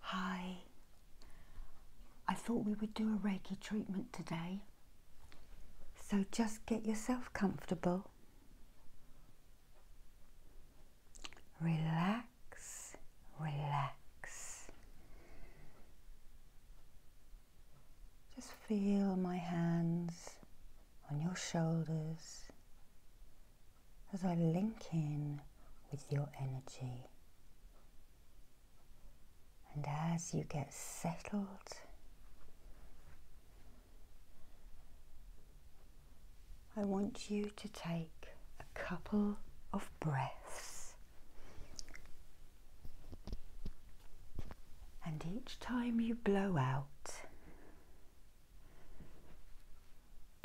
Hi, I thought we would do a Reiki treatment today, so just get yourself comfortable, relax, relax. Just feel my hands on your shoulders, as I link in with your energy. And as you get settled, I want you to take a couple of breaths. And each time you blow out,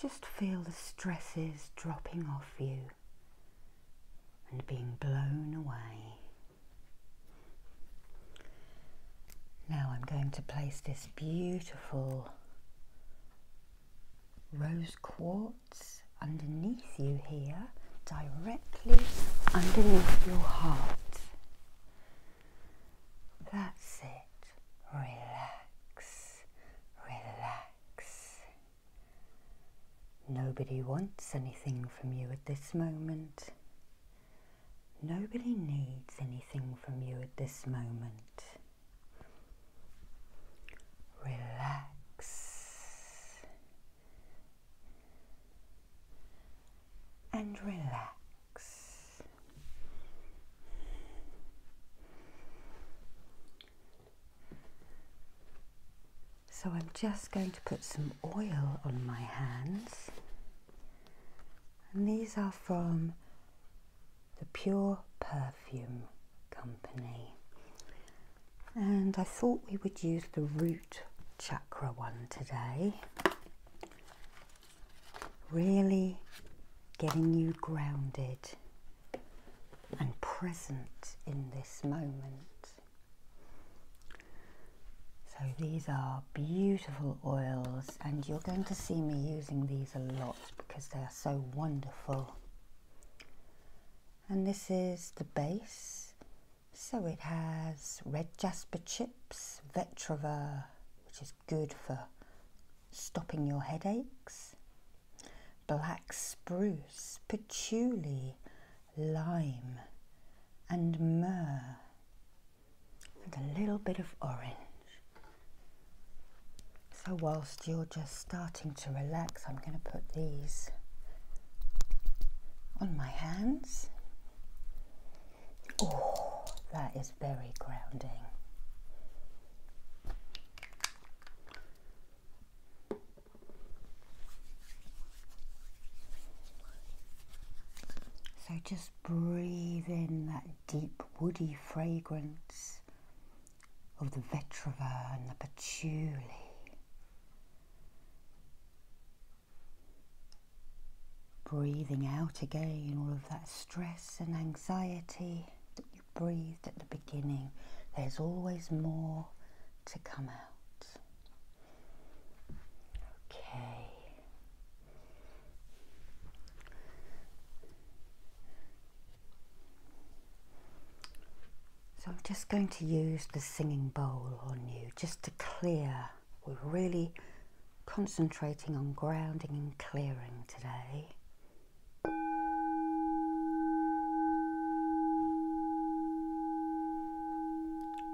just feel the stresses dropping off you and being blown away. Now I'm going to place this beautiful rose quartz underneath you here, directly underneath your heart. That's it. Relax relax. Nobody wants anything from you at this moment. Nobody needs anything from you at this moment. Relax. And relax. So I'm just going to put some oil on my hands. And these are from the Pure Perfume Company. And I thought we would use the root chakra one today. Really getting you grounded and present in this moment. So these are beautiful oils and you're going to see me using these a lot because they are so wonderful. And this is the base. So it has red jasper chips, vetiver, which is good for stopping your headaches. Black spruce, patchouli, lime, and myrrh, and a little bit of orange. So, whilst you're just starting to relax, I'm going to put these on my hands. Oh, that is very grounding. So just breathe in that deep woody fragrance of the vetiver and the patchouli. Breathing out again all of that stress and anxiety breathed at the beginning, there's always more to come out. Okay. So I'm just going to use the singing bowl on you just to clear. We're really concentrating on grounding and clearing today.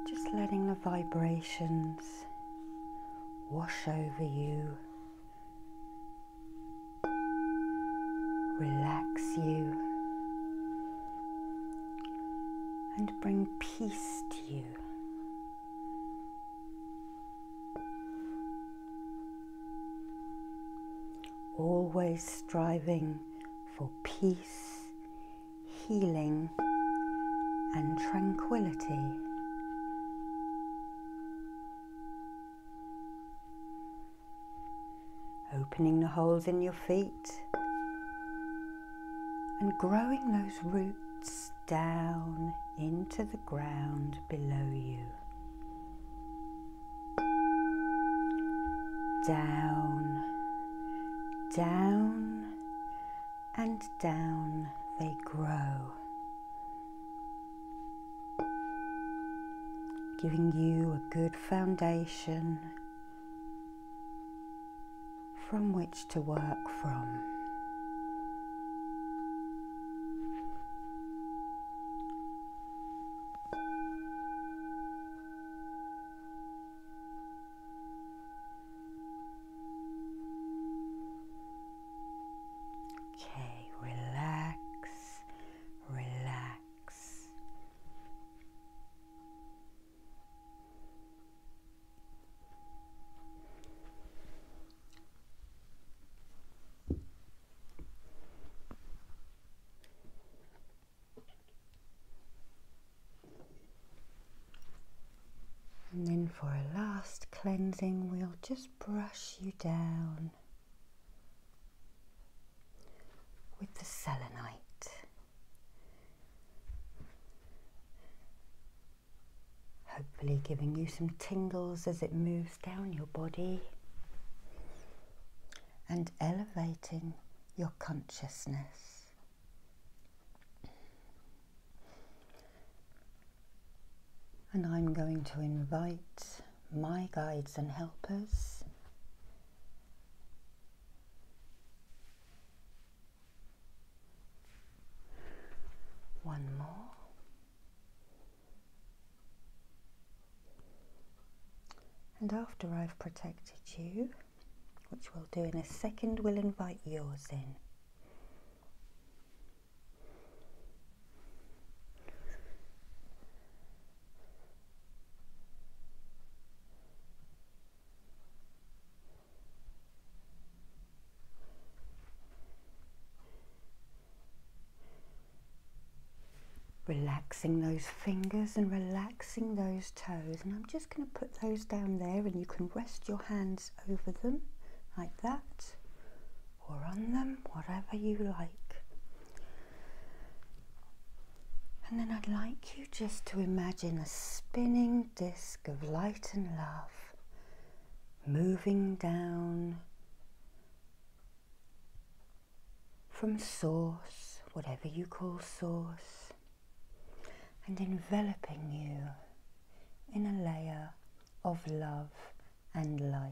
Just letting the vibrations wash over you, relax you, and bring peace to you. Always striving for peace, healing, and tranquility. Opening the holes in your feet and growing those roots down into the ground below you. Down, down, and down they grow, giving you a good foundation from which to work from. Okay, relax, relax. And then for a last cleansing, we'll just brush you down with the selenite hopefully giving you some tingles as it moves down your body and elevating your consciousness. And I'm going to invite my guides and helpers one more and after I've protected you, which we'll do in a second, we'll invite yours in. Relaxing those fingers and relaxing those toes. And I'm just going to put those down there and you can rest your hands over them like that or on them, whatever you like. And then I'd like you just to imagine a spinning disc of light and love moving down from source, whatever you call source, and enveloping you in a layer of love and light.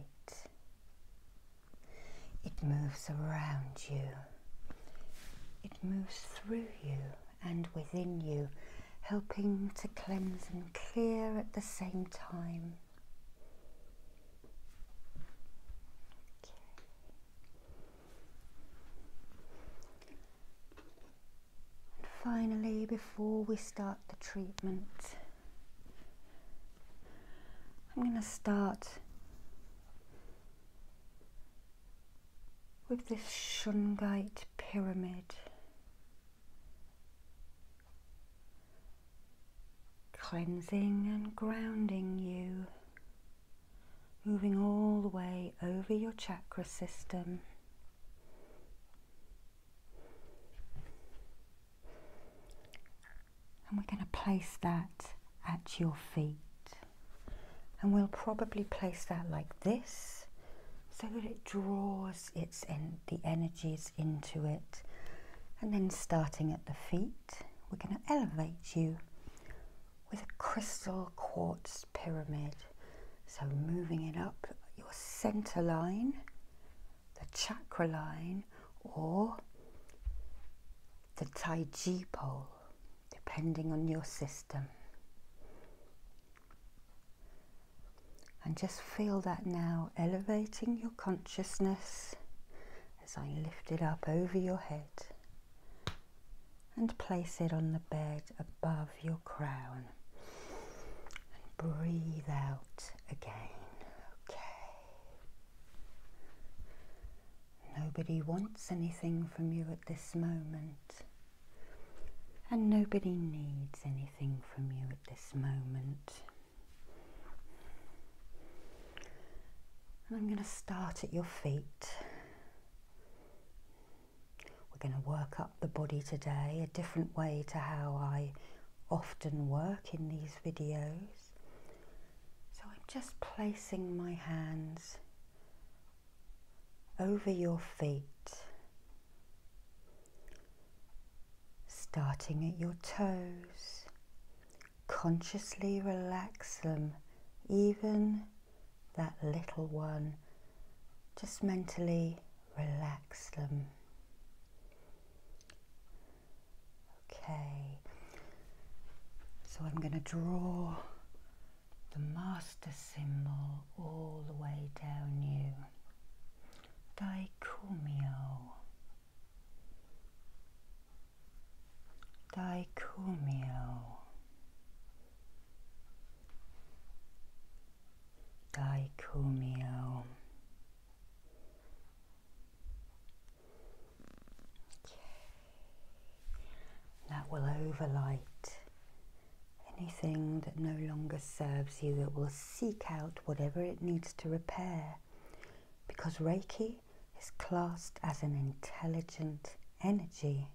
It moves around you. It moves through you and within you, helping to cleanse and clear at the same time finally, before we start the treatment, I'm going to start with this shungite pyramid. Cleansing and grounding you, moving all the way over your chakra system. And we're going to place that at your feet. And we'll probably place that like this so that it draws its en the energies into it. And then starting at the feet, we're going to elevate you with a crystal quartz pyramid. So moving it up your center line, the chakra line, or the Tai pole, depending on your system. And just feel that now elevating your consciousness as I lift it up over your head and place it on the bed above your crown. And breathe out again. Okay. Nobody wants anything from you at this moment. And nobody needs anything from you at this moment. And I'm going to start at your feet. We're going to work up the body today, a different way to how I often work in these videos. So I'm just placing my hands over your feet starting at your toes. Consciously relax them, even that little one. Just mentally relax them. Okay, so I'm going to draw the master symbol all the way down you. Daikumio. Daikumio. Daikumio. Okay. That will overlight anything that no longer serves you, that will seek out whatever it needs to repair because Reiki is classed as an intelligent energy.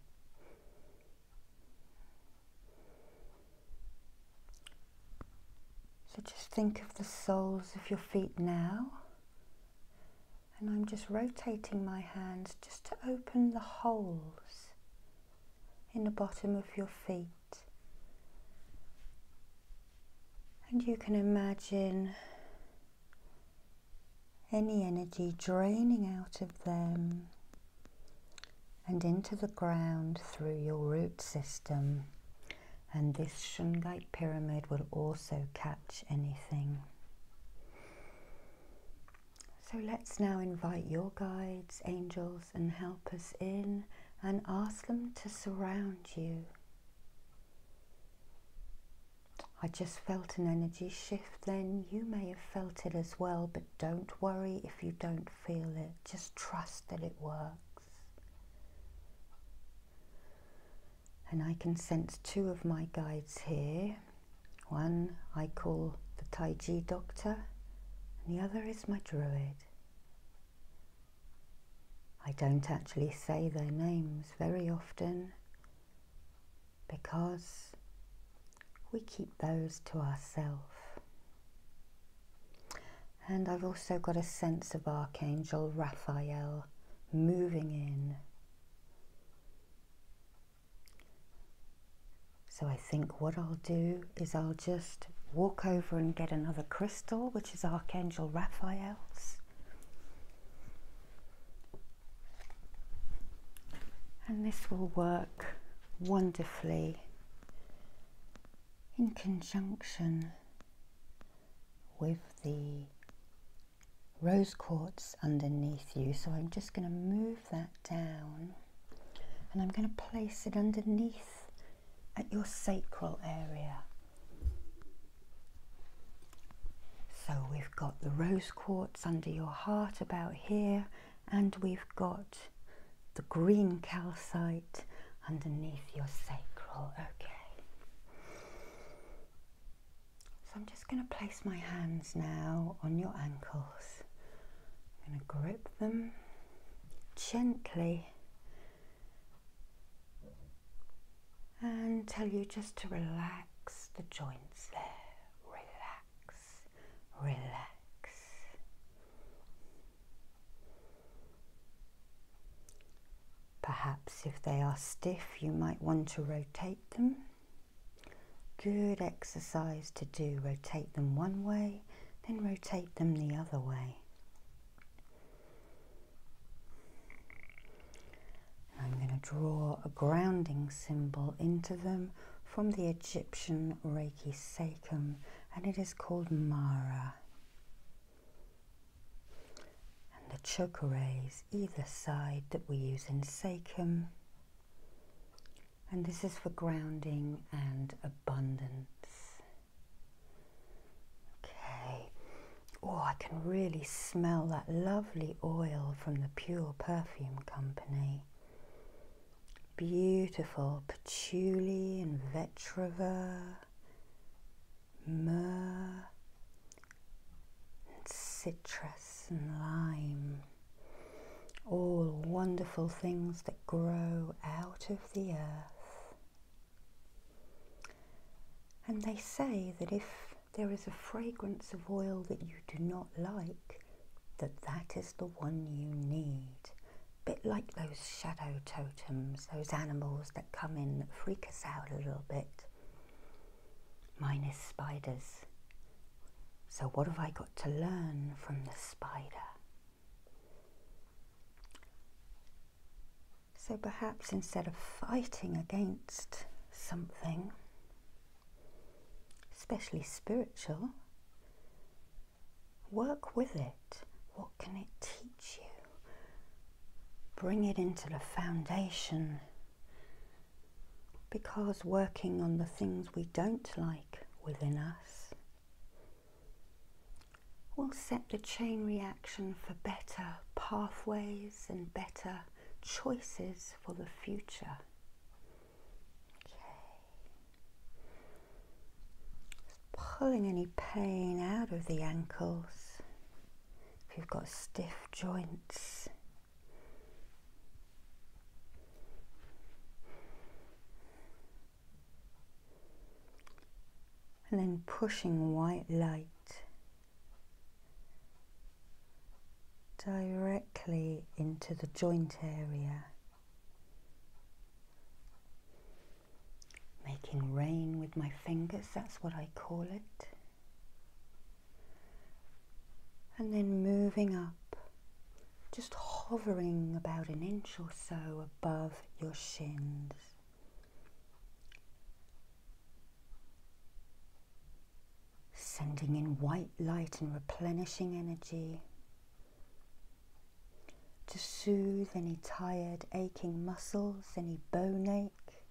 So just think of the soles of your feet now. And I'm just rotating my hands just to open the holes in the bottom of your feet. And you can imagine any energy draining out of them and into the ground through your root system. And this Shungite pyramid will also catch anything. So let's now invite your guides, angels, and help us in and ask them to surround you. I just felt an energy shift then. You may have felt it as well, but don't worry if you don't feel it. Just trust that it works. And I can sense two of my guides here. One I call the Taiji doctor, and the other is my druid. I don't actually say their names very often because we keep those to ourselves. And I've also got a sense of Archangel Raphael moving in. So I think what I'll do is I'll just walk over and get another crystal, which is Archangel Raphael's. And this will work wonderfully in conjunction with the rose quartz underneath you. So I'm just going to move that down and I'm going to place it underneath at your sacral area. So we've got the rose quartz under your heart about here and we've got the green calcite underneath your sacral. Okay. So I'm just going to place my hands now on your ankles. I'm going to grip them gently and tell you just to relax the joints there. Relax, relax. Perhaps if they are stiff, you might want to rotate them. Good exercise to do. Rotate them one way, then rotate them the other way. I'm going to draw a grounding symbol into them from the Egyptian Reiki Sachem, and it is called Mara. And the choker either side that we use in Sachem. And this is for grounding and abundance. Okay. Oh, I can really smell that lovely oil from the Pure Perfume Company. Beautiful patchouli and vetiver, myrrh, and citrus and lime. All wonderful things that grow out of the earth. And they say that if there is a fragrance of oil that you do not like, that that is the one you need. Bit like those shadow totems, those animals that come in that freak us out a little bit. Mine is spiders. So what have I got to learn from the spider? So perhaps instead of fighting against something, especially spiritual, work with it. What can it teach you? Bring it into the foundation. Because working on the things we don't like within us will set the chain reaction for better pathways and better choices for the future. Okay. Pulling any pain out of the ankles if you've got stiff joints and then pushing white light directly into the joint area, making rain with my fingers, that's what I call it. And then moving up, just hovering about an inch or so above your shins. Sending in white light and replenishing energy to soothe any tired, aching muscles, any bone ache.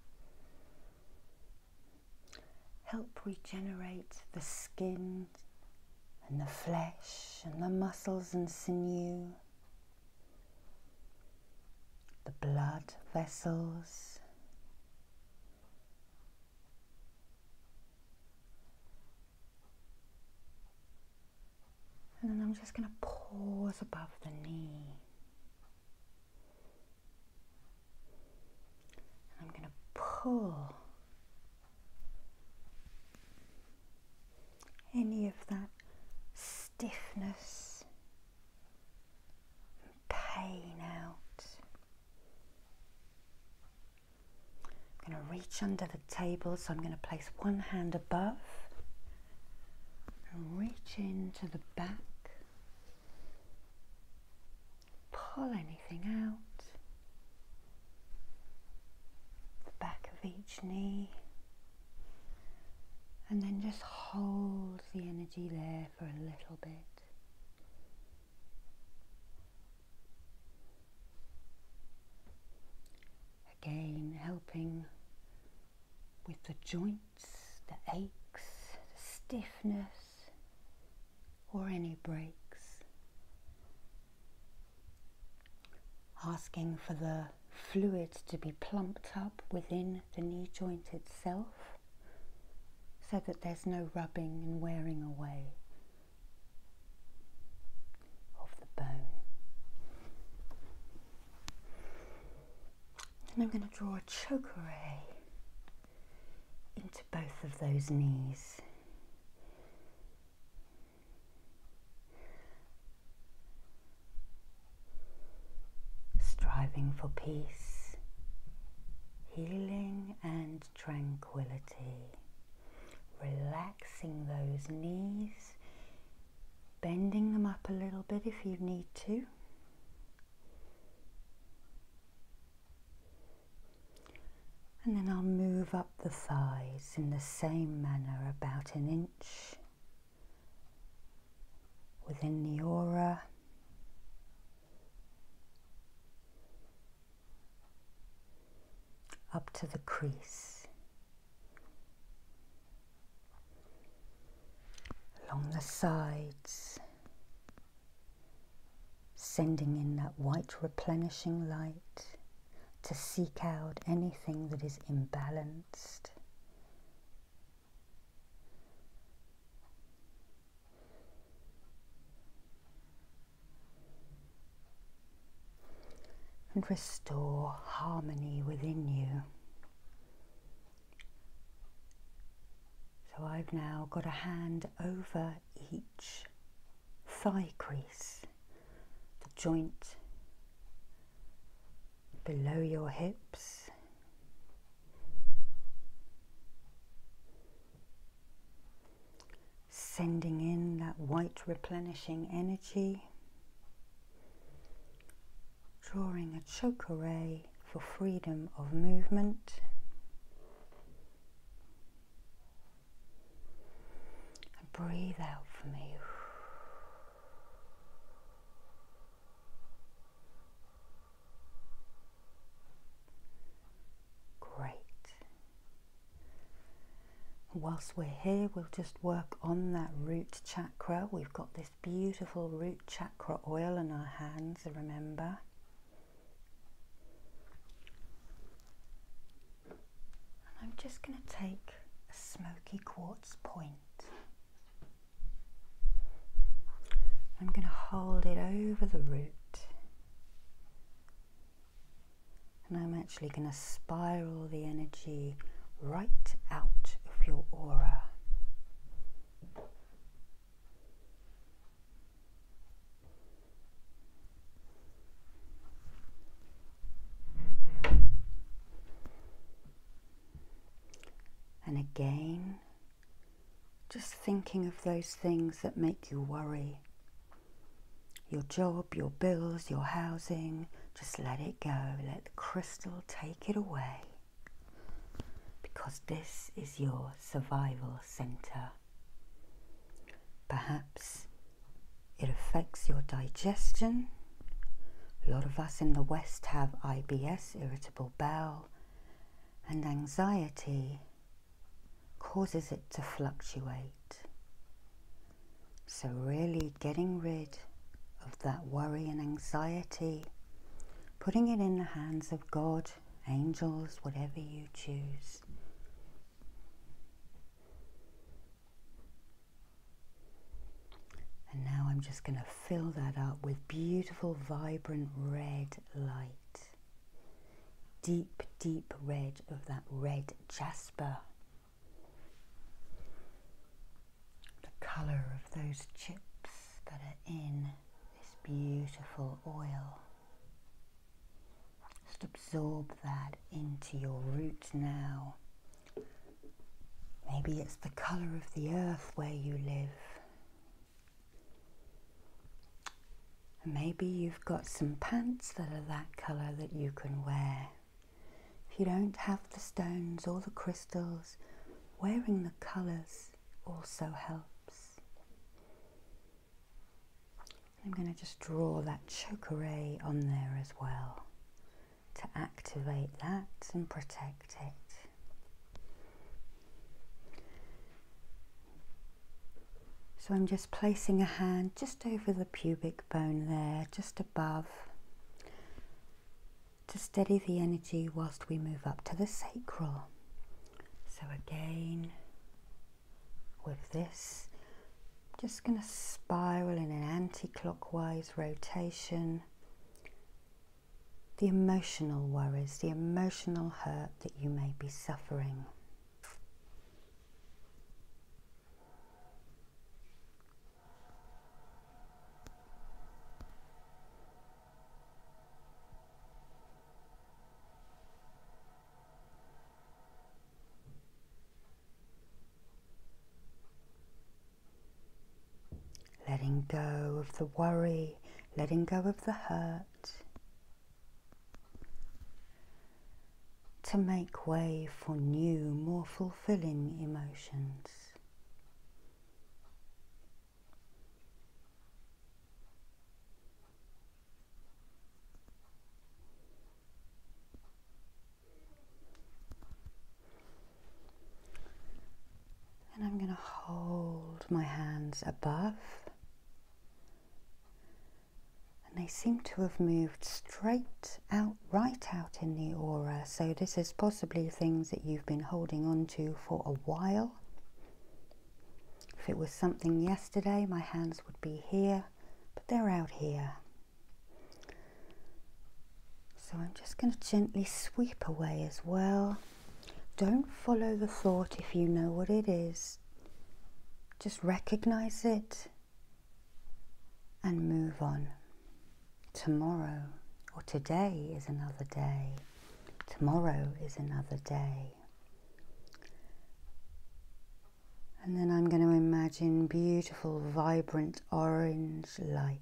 Help regenerate the skin and the flesh and the muscles and sinew the blood vessels, and then I'm just going to pause above the knee. I'm going to pull any of that stiffness pain out. I'm going to reach under the table, so I'm going to place one hand above and reach into the back. Pull anything out. The back of each knee. And then just hold the energy there for a little bit. Again, helping with the joints, the aches, the stiffness, or any breaks asking for the fluid to be plumped up within the knee joint itself so that there's no rubbing and wearing away of the bone. And I'm going to draw a chokeray into both of those knees striving for peace, healing and tranquility, relaxing those knees, bending them up a little bit if you need to. And then I'll move up the thighs in the same manner, about an inch within the aura. Up to the crease, along the sides, sending in that white replenishing light to seek out anything that is imbalanced. And restore harmony within you. So I've now got a hand over each thigh crease the joint below your hips. Sending in that white replenishing energy, drawing a choke array for freedom of movement. And breathe out for me. Great. Whilst we're here, we'll just work on that root chakra. We've got this beautiful root chakra oil in our hands, remember. And I'm just going to take a smoky quartz point. I'm going to hold it over the root. And I'm actually going to spiral the energy right out of your aura. And again, just thinking of those things that make you worry your job, your bills, your housing, just let it go. Let the crystal take it away. Because this is your survival centre. Perhaps it affects your digestion. A lot of us in the West have IBS, irritable bowel, and anxiety causes it to fluctuate. So, really getting rid of that worry and anxiety, putting it in the hands of God, angels, whatever you choose. And now I'm just going to fill that up with beautiful, vibrant red light. Deep, deep red of that red jasper. The colour of those chips that are in this beautiful oil. Just absorb that into your root now Maybe it's the colour of the earth where you live. maybe you've got some pants that are that colour that you can wear. If you don't have the stones or the crystals, wearing the colours also helps. I'm going to just draw that chokeray on there as well to activate that and protect it. So I'm just placing a hand just over the pubic bone there, just above, to steady the energy whilst we move up to the sacral. So again, with this, just going to spiral in an anti-clockwise rotation the emotional worries, the emotional hurt that you may be suffering letting go of the worry, letting go of the hurt, to make way for new, more fulfilling emotions. And I'm going to hold my hands above. And they seem to have moved straight out, right out in the aura. So this is possibly things that you've been holding on to for a while. If it was something yesterday, my hands would be here, but they're out here. So I'm just going to gently sweep away as well. Don't follow the thought if you know what it is. Just recognize it and move on. Tomorrow or today is another day. Tomorrow is another day. And then I'm going to imagine beautiful, vibrant orange light.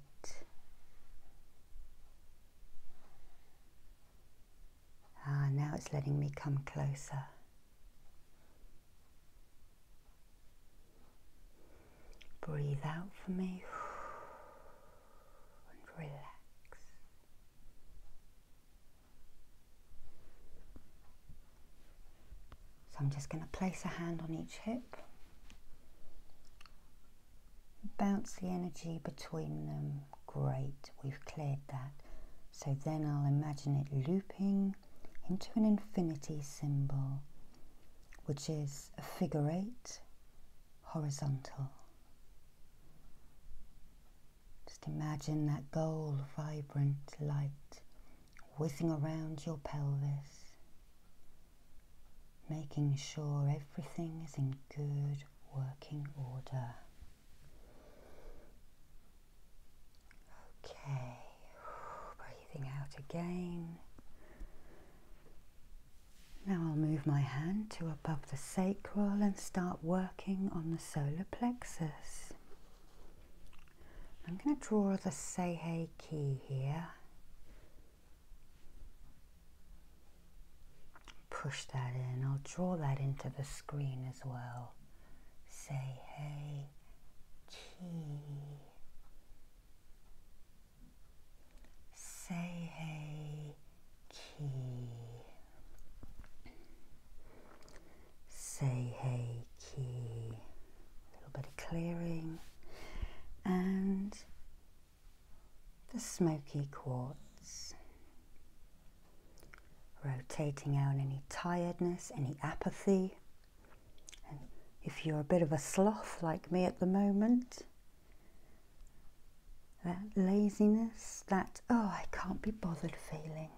Ah, now it's letting me come closer. Breathe out for me and relax. So I'm just going to place a hand on each hip, bounce the energy between them. Great, we've cleared that. So then I'll imagine it looping into an infinity symbol, which is a figure eight horizontal. Just imagine that gold, vibrant light whizzing around your pelvis, making sure everything is in good working order. Okay, breathing out again. Now I'll move my hand to above the sacral and start working on the solar plexus. I'm going to draw the say hey key here. Push that in. I'll draw that into the screen as well. Say hey key. Say hey key. Say Seihei key, a little bit of clearing, and the smoky quartz. Rotating out any tiredness, any apathy. if you're a bit of a sloth like me at the moment, that laziness, that, oh, I can't be bothered feeling.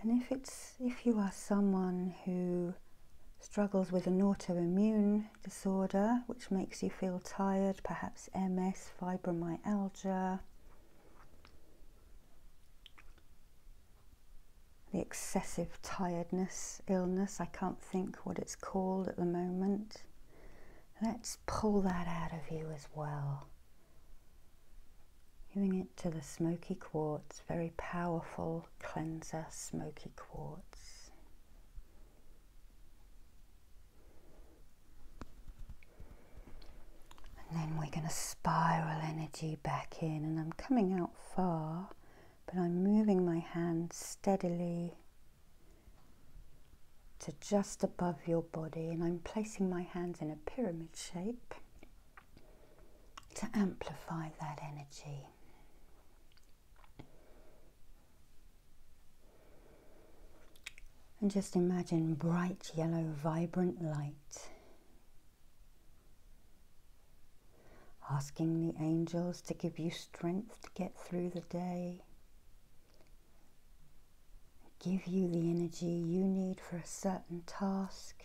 And if it's if you are someone who struggles with an autoimmune disorder which makes you feel tired, perhaps MS, fibromyalgia, the excessive tiredness illness, I can't think what it's called at the moment. Let's pull that out of you as well. Giving it to the smoky quartz, very powerful cleanser, smoky quartz. And then we're going to spiral energy back in, and I'm coming out far, but I'm moving my hand steadily to just above your body, and I'm placing my hands in a pyramid shape to amplify that energy. And just imagine bright yellow, vibrant light. Asking the angels to give you strength to get through the day. Give you the energy you need for a certain task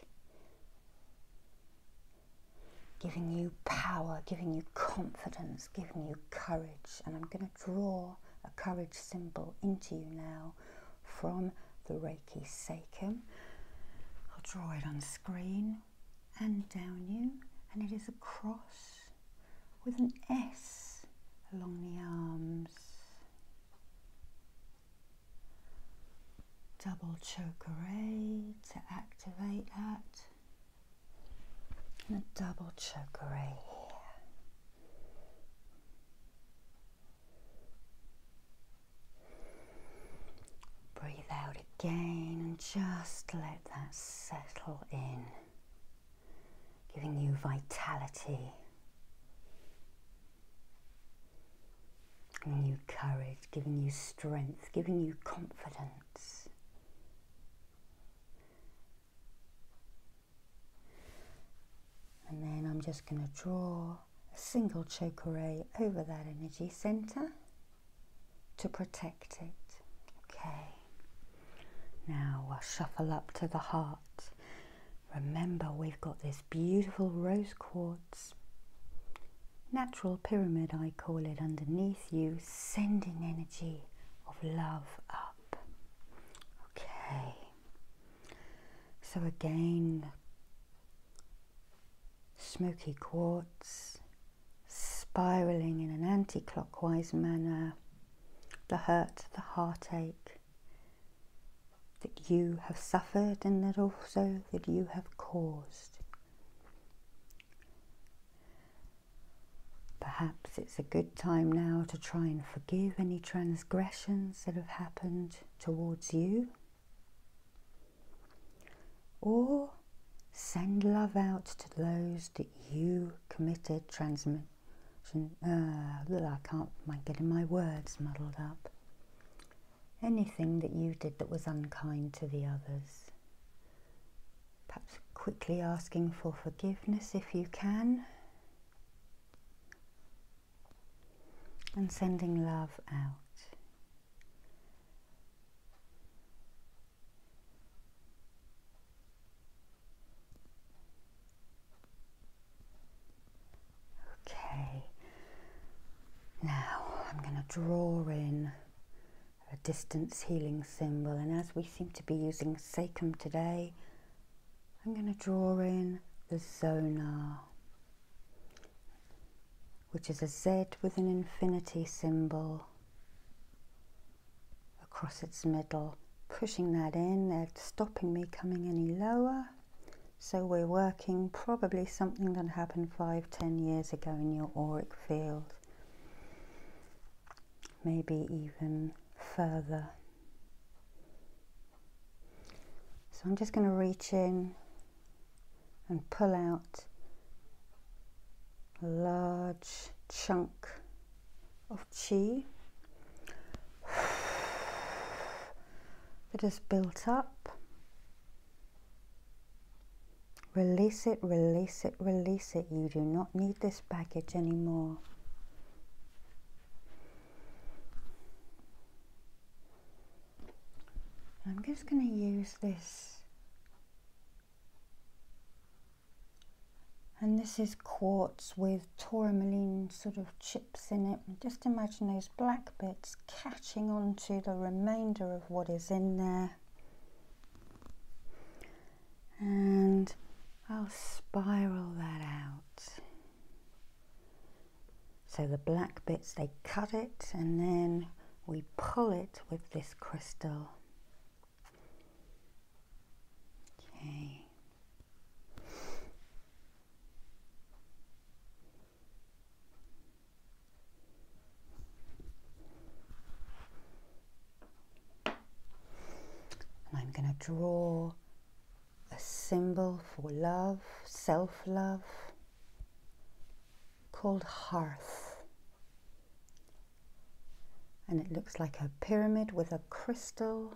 giving you power, giving you confidence, giving you courage. And I'm going to draw a courage symbol into you now from the Reiki Seiken. I'll draw it on screen and down you, and it is a cross with an S along the arms double choke array to activate that and a double choke array here breathe out again and just let that settle in giving you vitality giving you courage, giving you strength, giving you confidence. And then I'm just going to draw a single chakra ray over that energy center to protect it. Okay. Now I'll uh, shuffle up to the heart. Remember, we've got this beautiful rose quartz natural pyramid, I call it, underneath you, sending energy of love up. Okay. So again, smoky quartz spiraling in an anti clockwise manner, the hurt, the heartache, that you have suffered and that also that you have caused. Perhaps it's a good time now to try and forgive any transgressions that have happened towards you. Or send love out to those that you committed transmission. Uh, I can't, mind getting my words muddled up anything that you did that was unkind to the others. Perhaps quickly asking for forgiveness if you can. And sending love out. Okay, now I'm going to draw in a distance healing symbol and as we seem to be using sacrum today, I'm going to draw in the zonar, which is a Z with an infinity symbol across its middle, pushing that in, they're stopping me coming any lower. So we're working probably something that happened five, ten years ago in your auric field, maybe even further. So I'm just going to reach in and pull out a large chunk of chi that has built up Release it, release it, release it. You do not need this baggage anymore. I'm just going to use this. And this is quartz with tourmaline sort of chips in it. Just imagine those black bits catching onto the remainder of what is in there and I'll spiral that out so the black bits they cut it and then we pull it with this crystal okay and I'm going to draw a symbol for love, self love, called hearth. And it looks like a pyramid with a crystal,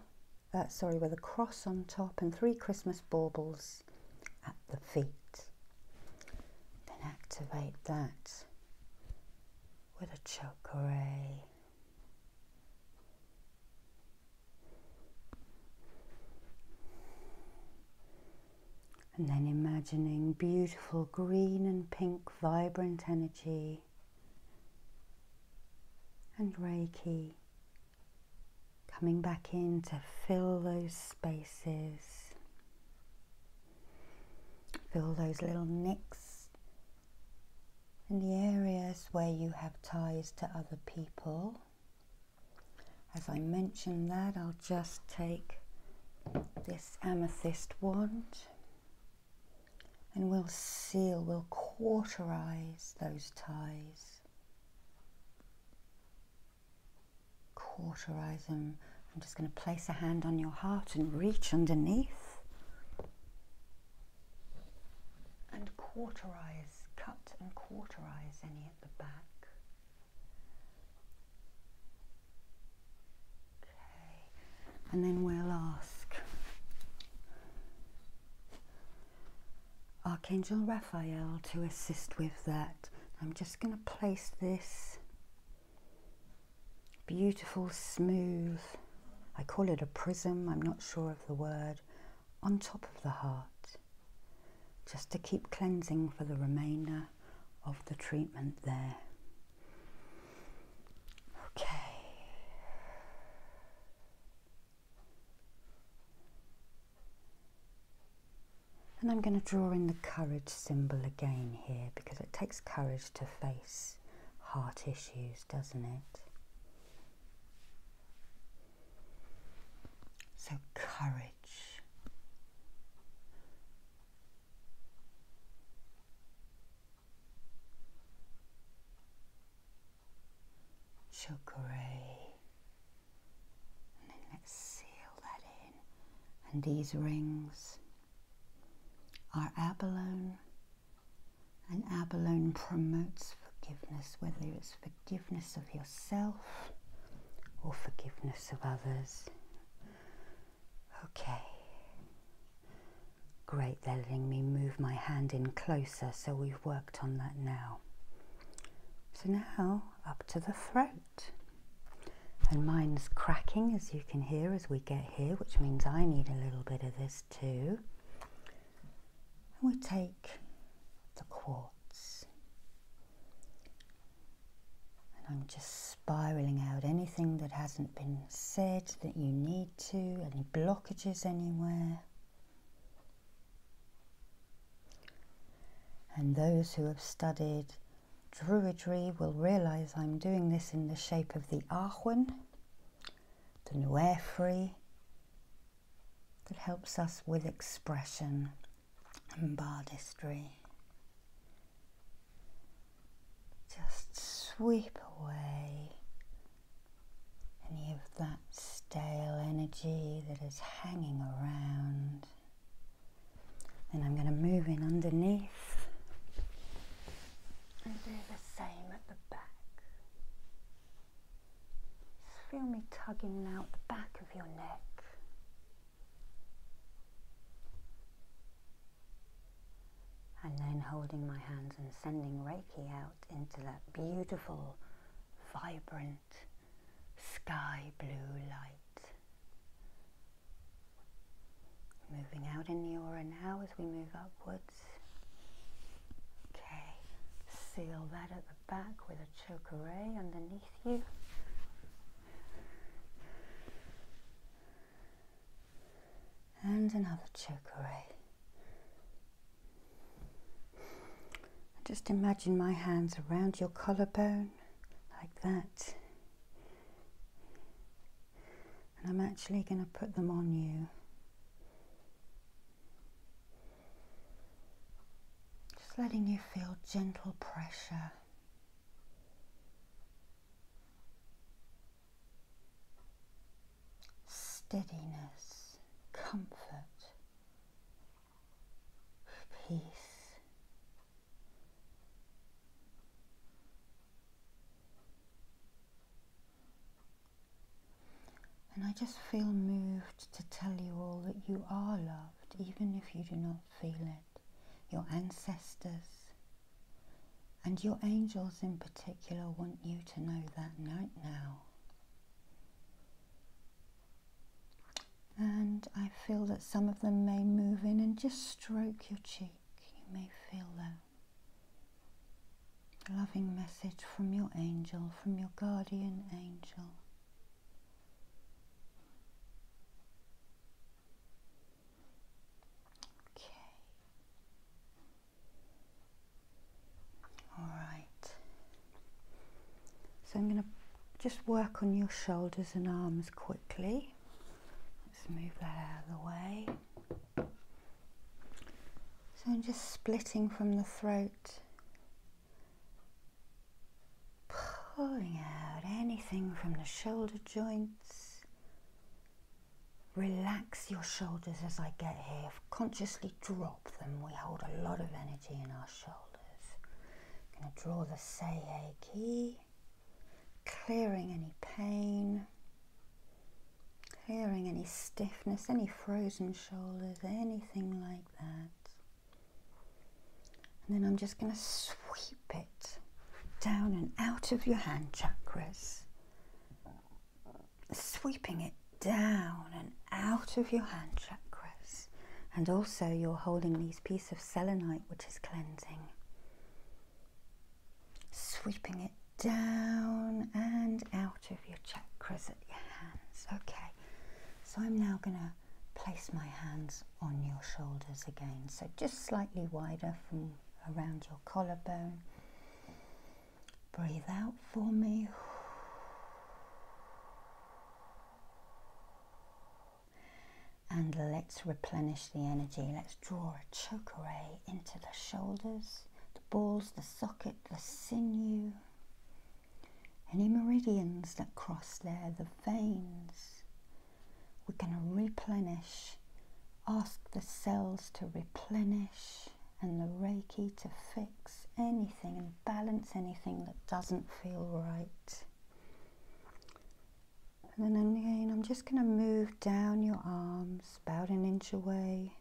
uh, sorry, with a cross on top and three Christmas baubles at the feet. Then activate that with a chakra ray. And then imagining beautiful green and pink vibrant energy and Reiki Coming back in to fill those spaces, fill those little nicks and the areas where you have ties to other people. As I mentioned that, I'll just take this amethyst wand and we'll seal, we'll cauterize those ties cauterizing. I'm just going to place a hand on your heart and reach underneath and cauterize, cut and cauterize any at the back. Okay, and then we'll ask Archangel Raphael to assist with that. I'm just going to place this beautiful, smooth, I call it a prism, I'm not sure of the word, on top of the heart, just to keep cleansing for the remainder of the treatment there. Okay. And I'm going to draw in the courage symbol again here because it takes courage to face heart issues, doesn't it? So, courage. Chakra. And then let's seal that in. And these rings are abalone. And abalone promotes forgiveness, whether it's forgiveness of yourself or forgiveness of others. Okay. Great, they're letting me move my hand in closer, so we've worked on that now. So now up to the throat. And mine's cracking as you can hear as we get here, which means I need a little bit of this too. And we take the quartz. And I'm just spiraling out anything that hasn't been said that you need to, any blockages anywhere. And those who have studied Druidry will realize I'm doing this in the shape of the Ahwan, the Nuefri, that helps us with expression and bardistry. Just sweep away any of that stale energy that is hanging around. Then I'm going to move in underneath and do the same at the back. feel me tugging now at the back of your neck. And then holding my hands and sending Reiki out into that beautiful, vibrant sky blue light. Moving out in the aura now as we move upwards. Okay, seal that at the back with a choker ray underneath you. And another choker ray. Just imagine my hands around your collarbone, like that. And I'm actually going to put them on you. Just letting you feel gentle pressure. Steadiness, comfort, peace. And I just feel moved to tell you all that you are loved, even if you do not feel it. Your ancestors and your angels in particular want you to know that right now. And I feel that some of them may move in and just stroke your cheek. You may feel them. A loving message from your angel, from your guardian angel. Okay. All right. So I'm going to just work on your shoulders and arms quickly. Let's move that out of the way. So I'm just splitting from the throat, pulling out anything from the shoulder joints. Relax your shoulders as I get here. Consciously drop them. We hold a lot of energy in our shoulders. I'm going to draw the Seiya key, clearing any pain, clearing any stiffness, any frozen shoulders, anything like that. And then I'm just going to sweep it down and out of your hand chakras, sweeping it down and out of your hand chakras and also you're holding these piece of selenite, which is cleansing. Sweeping it down and out of your chakras at your hands. Okay, so I'm now going to place my hands on your shoulders again. So just slightly wider from around your collarbone. Breathe out for me. And let's replenish the energy. Let's draw a choke ray into the shoulders, the balls, the socket, the sinew. Any meridians that cross there, the veins. We're going to replenish. Ask the cells to replenish and the Reiki to fix anything and balance anything that doesn't feel right. And then again, I'm just going to move down your arms about an inch away.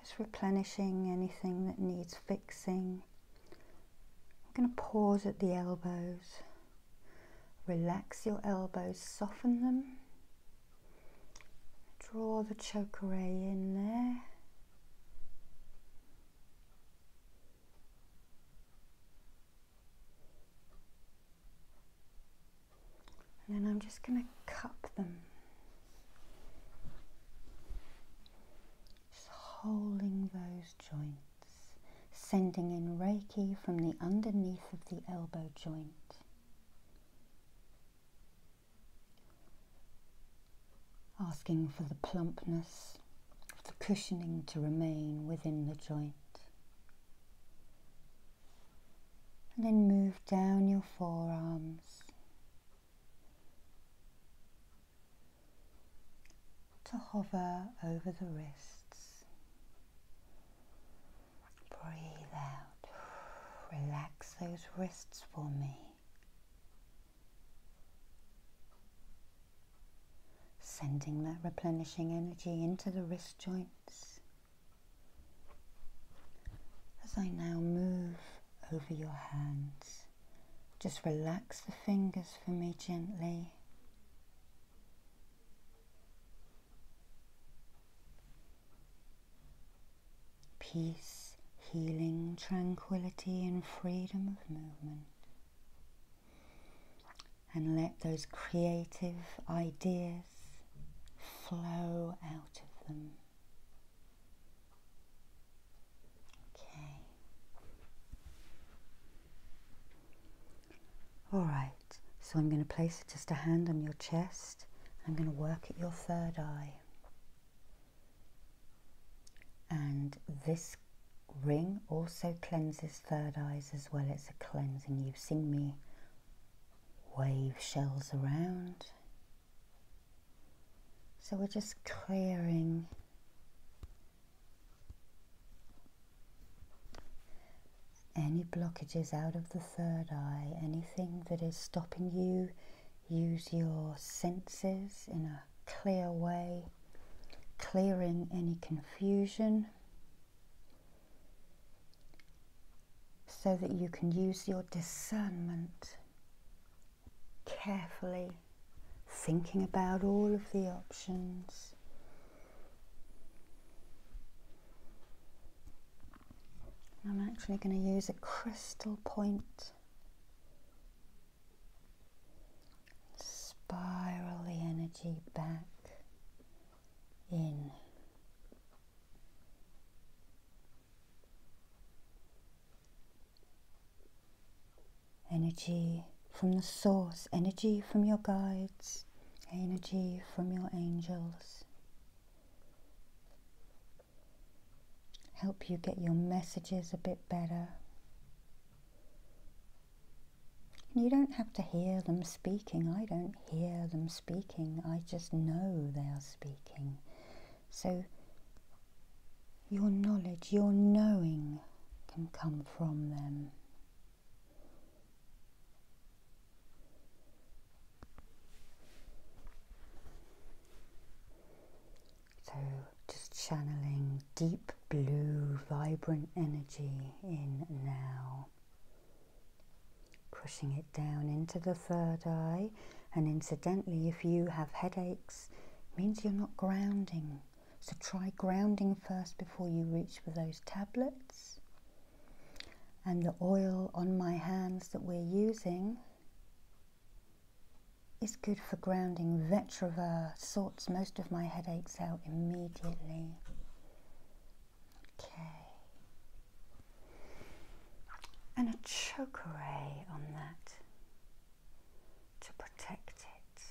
Just replenishing anything that needs fixing. I'm going to pause at the elbows. Relax your elbows, soften them. Draw the chakra in there. And then I'm just going to cup them. Just holding those joints, sending in Reiki from the underneath of the elbow joint asking for the plumpness for the cushioning to remain within the joint. And then move down your forearms to hover over the wrists. Breathe out. Relax those wrists for me. Sending that replenishing energy into the wrist joints. As I now move over your hands, just relax the fingers for me gently. Peace healing, tranquility, and freedom of movement. And let those creative ideas flow out of them. Okay. All right, so I'm going to place just a hand on your chest. I'm going to work at your third eye. And this ring also cleanses third eyes as well. It's a cleansing. You've seen me wave shells around. So we're just clearing any blockages out of the third eye, anything that is stopping you Use your senses in a clear way, clearing any confusion so that you can use your discernment carefully, thinking about all of the options. I'm actually going to use a crystal point Spiral the energy back in. Energy from the source, energy from your guides, energy from your angels help you get your messages a bit better. you don't have to hear them speaking. I don't hear them speaking. I just know they are speaking. So your knowledge, your knowing can come from them. So, just channeling deep blue, vibrant energy in now. Pushing it down into the third eye, and incidentally, if you have headaches, means you're not grounding. So, try grounding first before you reach for those tablets. And the oil on my hands that we're using it's good for grounding. Vetiver sorts most of my headaches out immediately. Okay. And a choke array on that to protect it.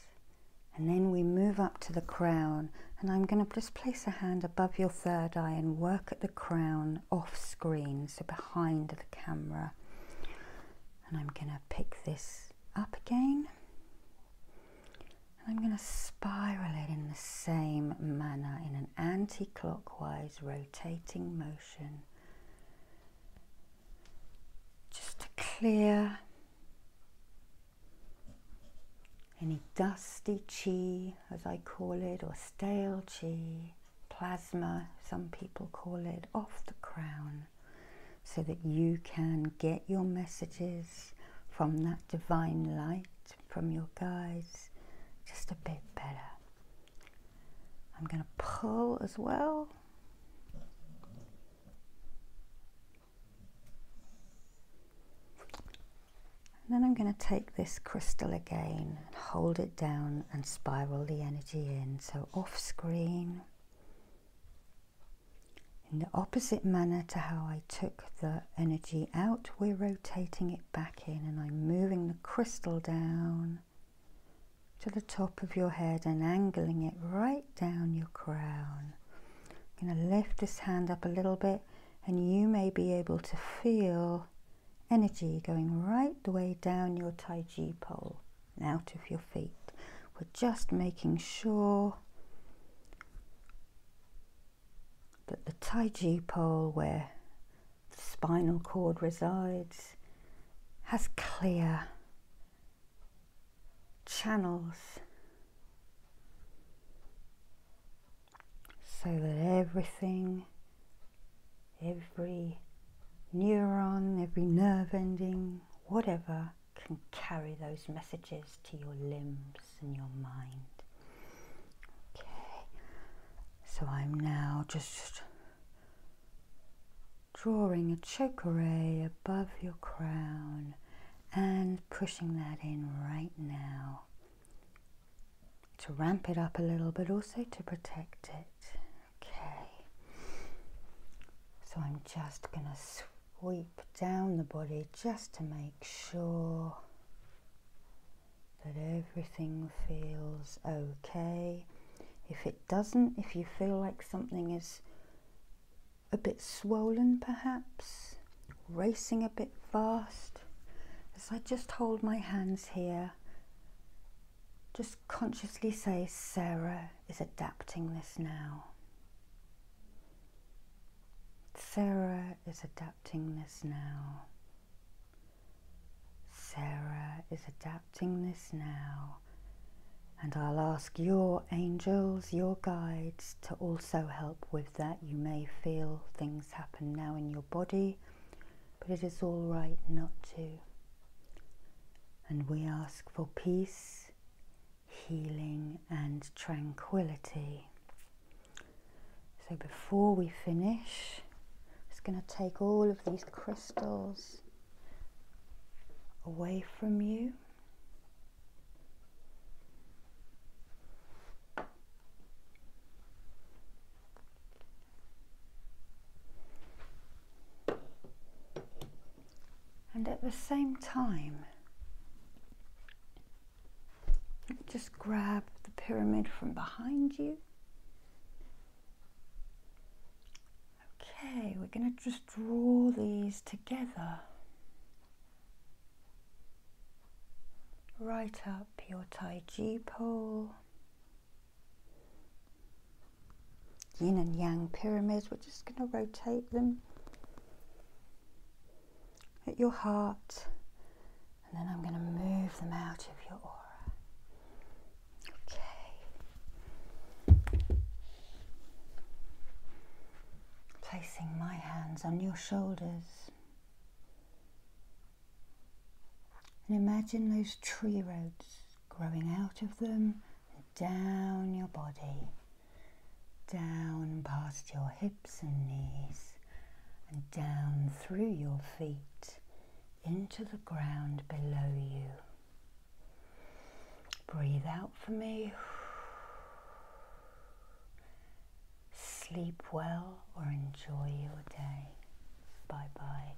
And then we move up to the crown. And I'm going to just place a hand above your third eye and work at the crown off screen, so behind the camera and I'm going to pick this up again and I'm going to spiral it in the same manner in an anti-clockwise rotating motion just to clear any dusty chi as I call it or stale chi plasma some people call it off the crown so that you can get your messages from that divine light, from your guides, just a bit better. I'm going to pull as well. And then I'm going to take this crystal again, and hold it down and spiral the energy in. So off screen. In the opposite manner to how I took the energy out, we're rotating it back in and I'm moving the crystal down to the top of your head and angling it right down your crown. I'm going to lift this hand up a little bit and you may be able to feel energy going right the way down your Tai Chi pole out of your feet. We're just making sure that the Taiji pole where the spinal cord resides has clear channels so that everything, every neuron, every nerve ending, whatever can carry those messages to your limbs and your mind. Okay, so I'm now just drawing a chakra ray above your crown and pushing that in right now to ramp it up a little but also to protect it Okay. So I'm just going to sweep down the body just to make sure that everything feels okay. If it doesn't, if you feel like something is a bit swollen perhaps, racing a bit fast, as I just hold my hands here just consciously say, Sarah is adapting this now. Sarah is adapting this now. Sarah is adapting this now. And I'll ask your angels, your guides, to also help with that. You may feel things happen now in your body, but it is all right not to and we ask for peace, healing, and tranquility. So before we finish, it's going to take all of these crystals away from you and at the same time just grab the pyramid from behind you okay we're going to just draw these together right up your Taiji pole yin and yang pyramids. We're just going to rotate them at your heart and then I'm going to move them out of your aura. Okay. Placing my hands on your shoulders. And imagine those tree roads growing out of them down your body, down past your hips and knees, and down through your feet into the ground below you. Breathe out for me. Sleep well or enjoy your day. Bye bye.